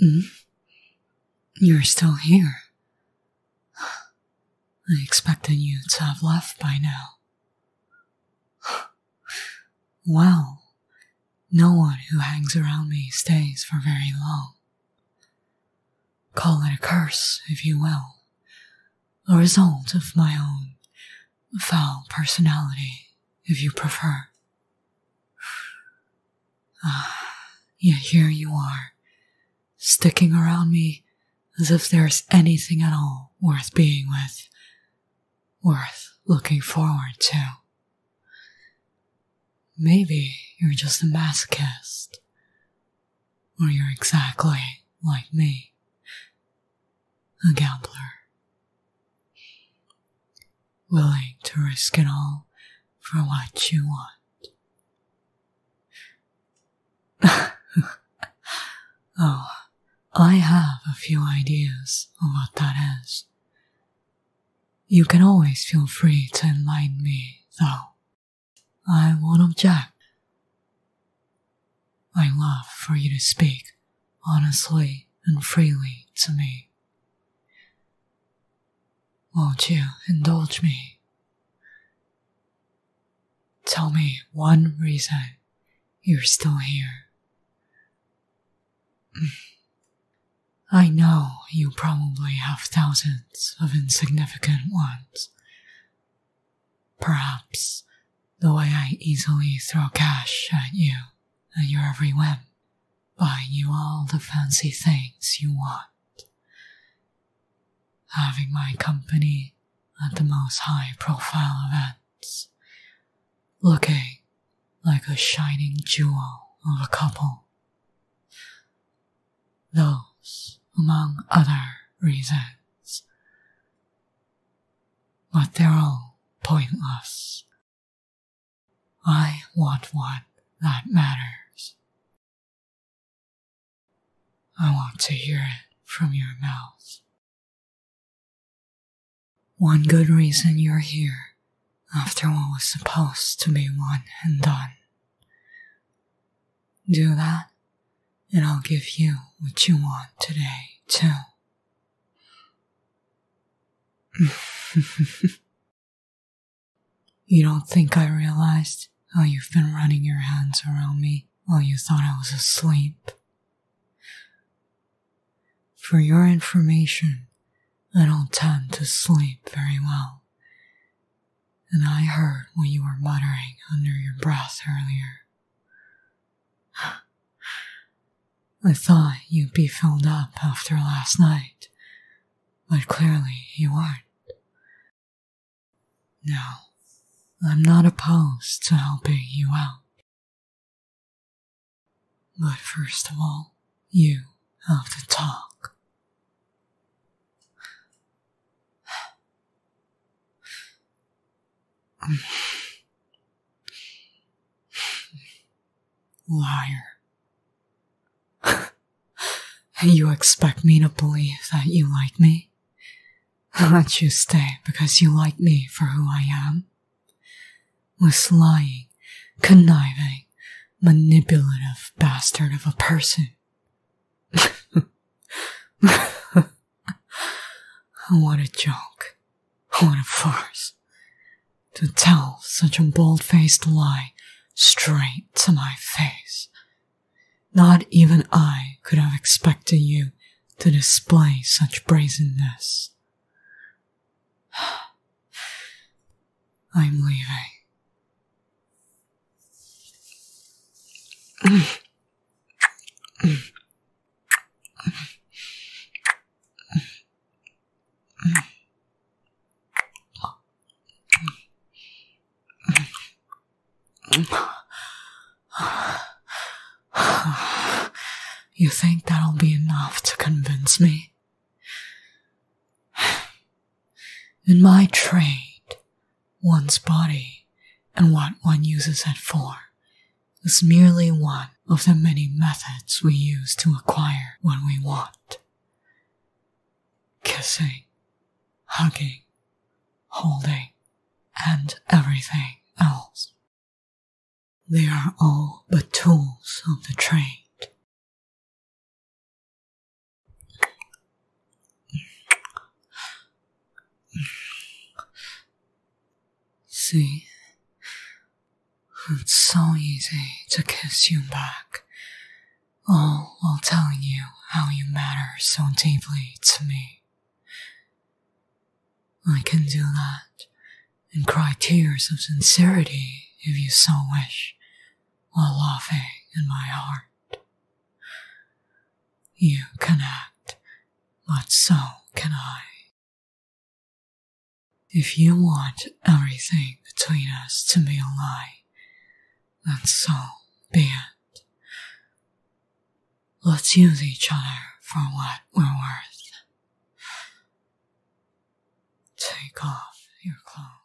Mm. You're still here. I expected you to have left by now. Well, no one who hangs around me stays for very long. Call it a curse, if you will, a result of my own foul personality, if you prefer. Ah, yet here you are, sticking around me as if there's anything at all worth being with, worth looking forward to. Maybe you're just a masochist, or you're exactly like me, a gambler, willing to risk it all for what you want. oh, I have a few ideas of what that is. You can always feel free to enlighten me, though. I won't object. I love for you to speak honestly and freely to me. Won't you indulge me? Tell me one reason you're still here. Mm. I know you probably have thousands of insignificant ones. Perhaps the way I easily throw cash at you and your every whim, buying you all the fancy things you want having my company at the most high profile events, looking like a shining jewel of a couple. Those among other reasons. But they're all pointless. I want one that matters I want to hear it from your mouth. One good reason you're here after what was supposed to be one and done. Do that, and I'll give you what you want today, too. You don't think I realized how you've been running your hands around me while you thought I was asleep? For your information, I don't tend to sleep very well. And I heard what you were muttering under your breath earlier. I thought you'd be filled up after last night, but clearly you aren't. Now, I'm not opposed to helping you out. But first of all, you have to talk. Liar. you expect me to believe that you like me? That you stay because you like me for who I am? This lying, conniving, manipulative bastard of a person. what a joke. What a farce. To tell such a bold faced lie straight to my face. Not even I could have expected you to display such brazenness. I'm leaving. You think that'll be enough to convince me? In my trade, one's body and what one uses it for is merely one of the many methods we use to acquire what we want. Kissing, hugging, holding, and everything else. They are all but tools of the trade. See, it's so easy to kiss you back, all while telling you how you matter so deeply to me. I can do that and cry tears of sincerity if you so wish, while laughing in my heart. You can act, but so can I. If you want everything between us to be a lie, then so be it. Let's use each other for what we're worth. Take off your clothes.